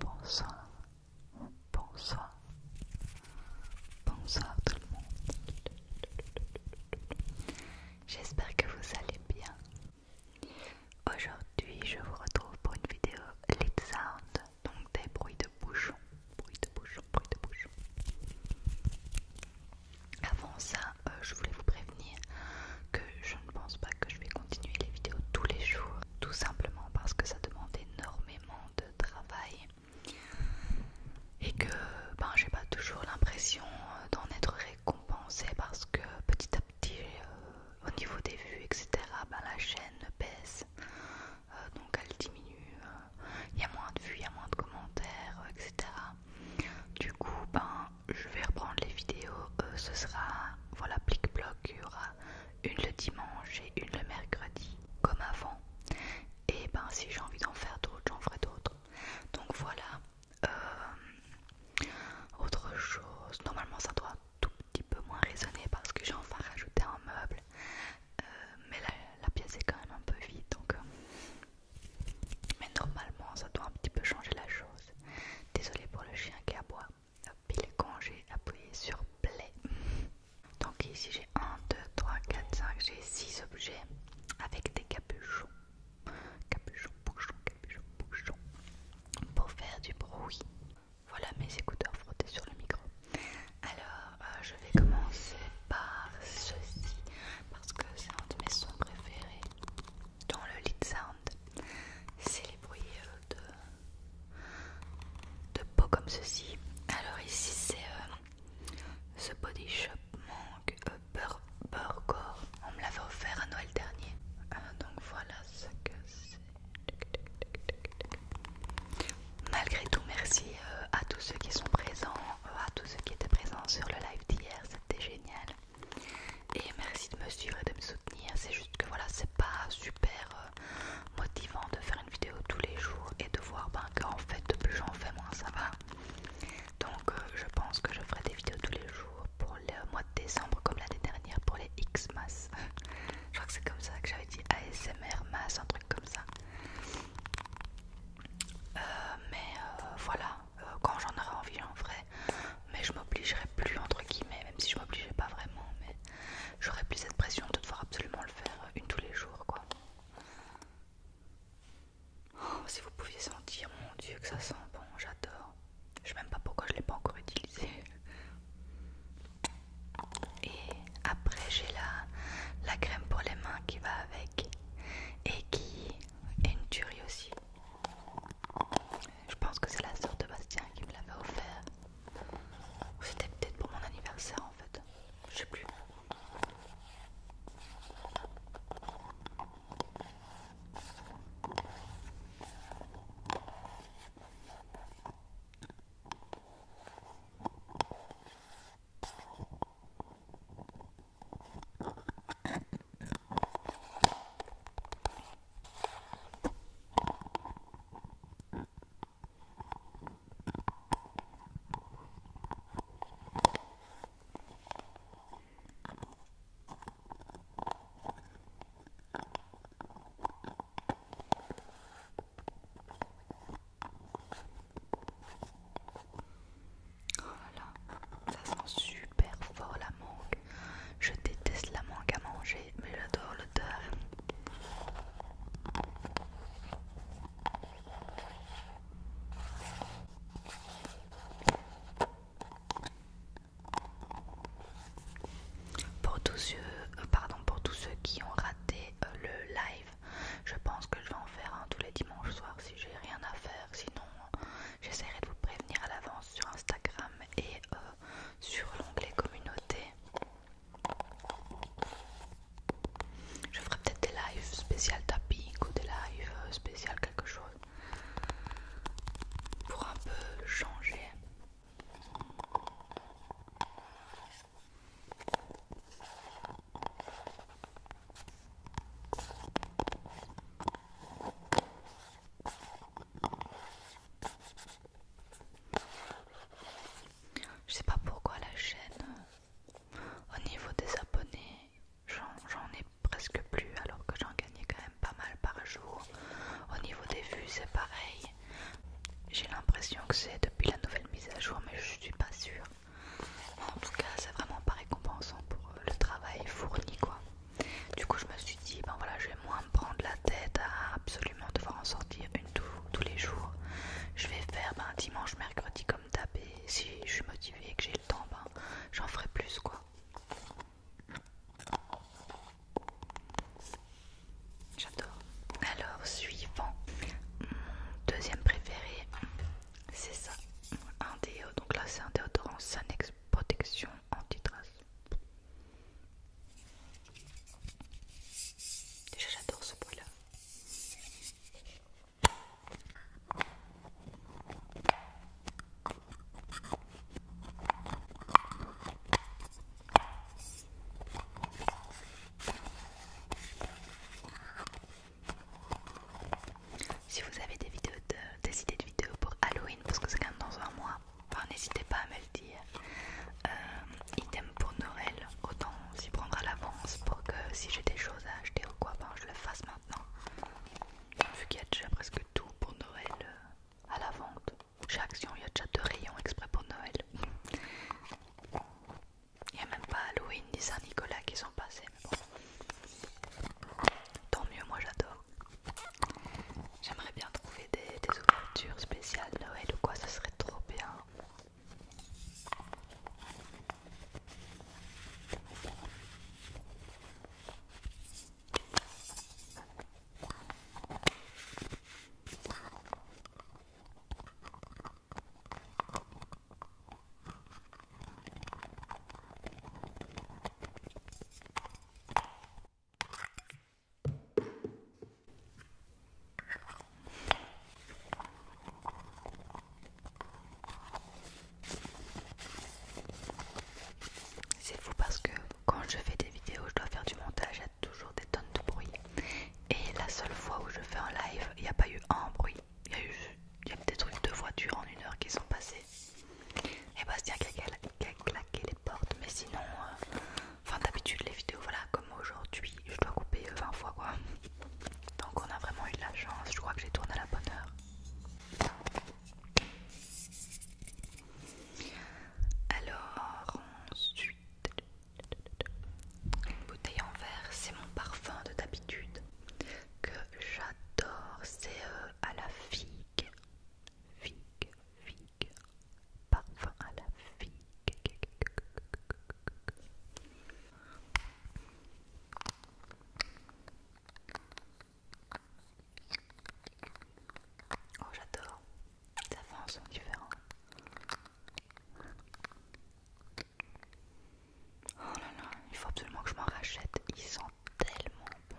Bonsoir, bonsoir, Bonsoir tout le monde. J'espère que vous allez bien. Aujourd'hui, je vous retrouve pour une vidéo Lead Sound, donc des bruits de bouchons. Bruit de bouchons, bruit de bouchons. Avant ça, euh, je voulais vous prévenir que je ne pense pas que je vais continuer les vidéos tous les jours, tout simplement parce que ça demande énormément de travail et que ben, j'ai pas toujours l'impression euh, d'en être récompensé parce que petit à petit euh, au niveau des vues etc ben, la chaîne baisse euh, donc elle diminue il y a moins de vues il y a moins de commentaires etc du coup ben je vais reprendre les vidéos ce sera voilà plic bloc il y aura une le dimanche et une le mercredi comme avant et ben si j'ai envie d'en faire d'autres j'en ferai d'autres donc voilà euh, autre chose normalement ça doit tout petit peu moins résonner parce que j'ai enfin rajouté un meuble euh, mais la, pièce est quand même un peu vide donc euh. mais normalement ça doit un petit peu changer la chose Désolée pour le chien qui aboie il est congé appuyé sur play Donc ici j'ai 1, 2, 3, 4, 5, j'ai 6 objets avec des capuchons. Capuchons, bouchons, capuchons, bouchons. Pour faire du bruit. Voilà mes écouteurs frottés sur le micro. Alors euh, je vais commencer par ceci parce que c'est un de mes sons préférés dans le lead sound. C'est les bruits euh, de de peau comme ceci. Alors ici c'est euh, ce body shop manque Peur euh, On me l'avait offert à Noël dernier. Euh, donc voilà ce c'est. Malgré tout, merci à tous ceux qui sont présents, à tous ceux qui étaient présents sur le live d'hier, c'était génial. Et merci de me suivre et de me soutenir. C'est juste que voilà, c'est pas super euh, motivant de faire une vidéo tous les jours et de voir ben, en fait plus j'en fais moins ça va donc euh, je pense que je ferai des vidéos tous les jours pour le mois de décembre comme l'année dernière pour les XMAS. je crois que c'est comme ça que j'avais dit ASMR masse un truc comme ça euh, mais voilà quand j'en aurai envie j'en ferai mais je m'obligerai plus entre guillemets même si je m'obligeais pas vraiment mais J'aurais plus cette pression de devoir absolument le faire une tous les jours, quoi. Oh, si vous pouviez sentir, mon dieu, que ça sent bon, j'adore. Je sais même pas pourquoi je l'ai pas encore utilisé. Et après, j'ai la, la crème pour les mains qui va avec et qui est une tuerie aussi. Je pense que c'est la sœur de Bastien qui me l'avait offert c'était peut-être pour mon anniversaire en fait. Je sais plus. Oh là là, ça sent super fort la mangue. Je déteste la manque à manger, mais j'adore l'odeur. Pour tous ceux, euh, pardon, pour tous ceux qui ont raté euh, le live, je pense que je vais en faire un tous les dimanches soir si j'ai rien à faire. Sinon, j'essaierai de vous prévenir à l'avance sur Instagram et euh, sur l'onglet communauté. Je ferai peut-être des lives spécial tapping ou des lives euh, spécial quelque chose pour un peu changer. Je sais pas pourquoi la chaîne, au niveau des abonnés, j'en ai presque plus alors que j'en gagnais quand même pas mal par jour. Au niveau des vues, c'est pareil. J'ai l'impression que c'est depuis la nouvelle mise à jour, mais je suis pas sûre. En tout cas, c'est vraiment pas récompensant pour le travail fourni, quoi. Du coup, je me suis dit, ben voilà, je vais moins me prendre la tête à absolument devoir en sortir une tous les jours. Je vais faire ben, dimanche, mercredi comme d'hab. si je suis motivée et que j'ai le temps, ben, j'en ferai plus quoi. J'adore. Alors, suivant, deuxième préféré, c'est ça. Un donc là c'est un déodorant Sanex Protection Anti-Trace. Déjà j'adore ce bruit là. Si vous avez des vidéos des idées de vidéos pour Halloween, parce que c'est quand même dans un mois, n'hésitez pas à me le dire. Euh, item pour Noël, autant s'y prendre à l'avance pour que si j'ai des choses à acheter ou quoi, ben, je le fasse maintenant. Vu qu'il y a déjà presque tout pour Noël euh, à la vente. Chez Action, il y a déjà deux rayons exprès pour Noël. Il n'y a même pas Halloween ni Saint-Nicolas qui sont passés, Tant mieux, moi j'adore. J'aimerais bien trouver des, ouvertures spéciales Noël ou quoi, ce serait trop bien. C'est fou parce que quand je fais des vidéos, je dois faire du montage, il y a toujours des tonnes de bruit. Et la seule fois où je fais un live, il n'y a pas eu un bruit. Il y a eu, des trucs de voiture en une heure qui sont passés. Et Bastien qu'elle a, claqué les portes, mais sinon, euh, d'habitude les vidéos, voilà, comme aujourd'hui, je dois couper 20 euh, fois quoi. Donc on a vraiment eu de la chance, je crois que j'ai tourné à la bonne heure. Alors ensuite, une bouteille en verre, c'est mon parfum de d'habitude que j'adore, c'est euh, à la figue, figue, figue, parfum à la figue. Oh j'adore, ça fait un son différent. Oh là là, il faut absolument que je m'en rachète. Ils sont tellement bon.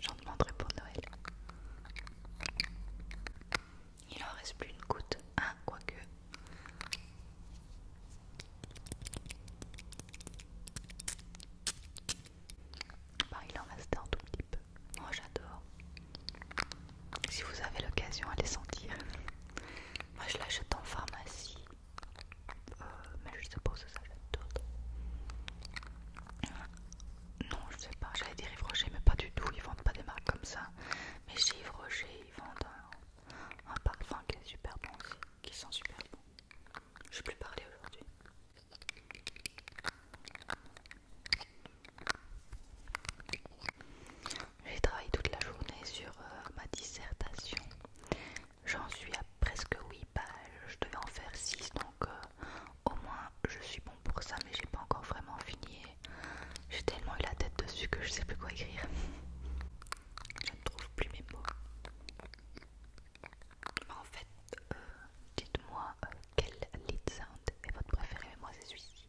J'en demanderai pour Noël. Il en reste plus une goutte. Hein, quoique. Bah, il en reste un tout petit peu. Moi, oh, j'adore. Si vous avez l'occasion, à les sentir. Moi, je l'achète en pharmacie. Euh, mais je sais pas où ça être d'autres. Non, je sais pas. J'allais dire Yves Rocher, mais pas du tout. Ils vendent pas des marques comme ça. Mais chez Rocher, ils vendent un, parfum qui est super bon aussi, qui sent super bon. Je vais plus parler aujourd'hui. J'ai travaillé toute la journée sur euh, ma dissertation. J'en suis à presque 8 pages. Je devais en faire 6, donc euh, au moins je suis bon pour ça, mais j'ai pas encore vraiment fini. J'ai tellement eu la tête dessus que je sais plus quoi écrire. Je ne trouve plus mes mots. En fait, euh, dites-moi quel lead sound est votre préféré, moi c'est celui-ci.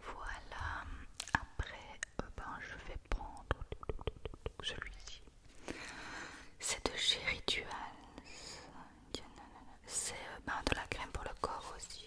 Voilà, après euh, ben, je vais prendre celui-ci. C'est de chez Ritual. C'est euh, ben, de la crème pour le corps aussi.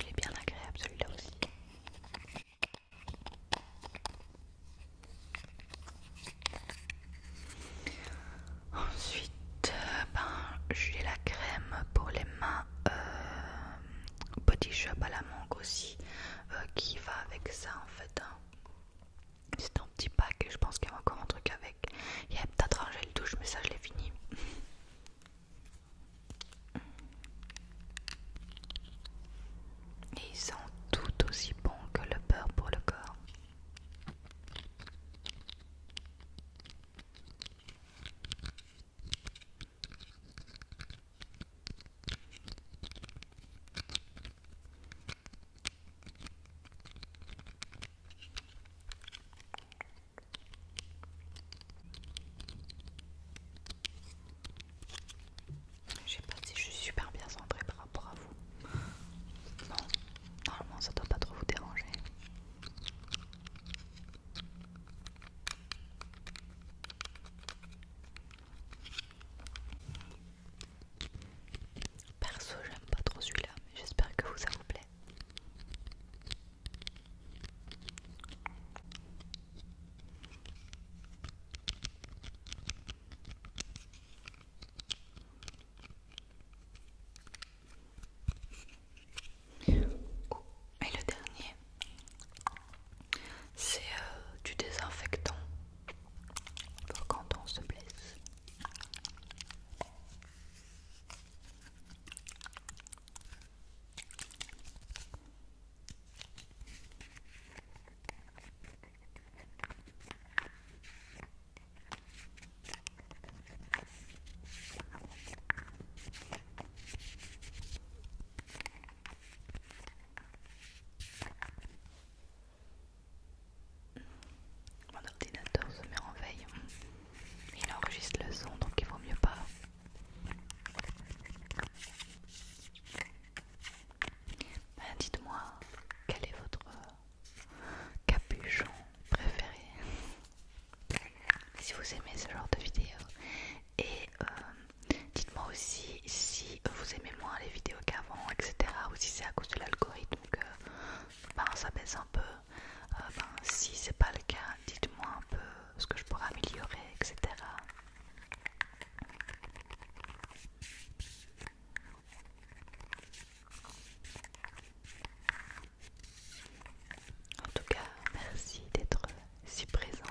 Il est bien agréable celui-là aussi. Ensuite, euh, ben, j'ai la crème pour les mains petit euh, Body Shop à la mangue aussi, euh, qui va avec ça en fait. Hein. C'est un petit pack et je pense qu'il y a encore un truc avec. Il y a peut-être un gel douche, mais ça je l'ai fini. Et ils sont tout aussi bons que le beurre pour le corps. Je sais pas si je suis super bien centrée par rapport à vous. Non, normalement ça doit pas trop vous déranger. Perso, j'aime pas trop celui-là, mais j'espère que vous vous plaît. Oh, et le dernier, c'est euh, du désinfectant pour quand on se blesse. Mon ordinateur se met en veille. Il enregistre le son, donc il vaut mieux pas. Ben, dites-moi, quel est votre capuchon préféré Si vous aimez ce genre de vidéo, et euh, dites-moi aussi si vous aimez moins les vidéos qu'avant, etc. Ou si c'est à cause de l'algorithme que ben, ça baisse un peu. Si euh, ce ben, si c'est pas le cas, dites-moi un peu ce que je pourrais améliorer, etc. En tout cas, merci d'être si présent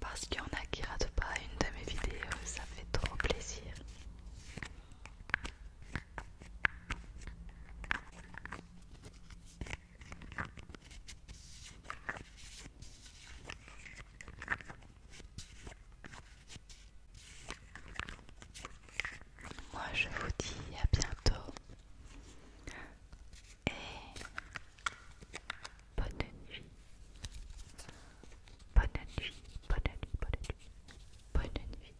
parce qu'il y en a qui pas une de mes vidéos, ça fait trop plaisir. Moi je vous dis à bientôt et bonne nuit. Bonne nuit, bonne nuit, bonne nuit. Bonne nuit.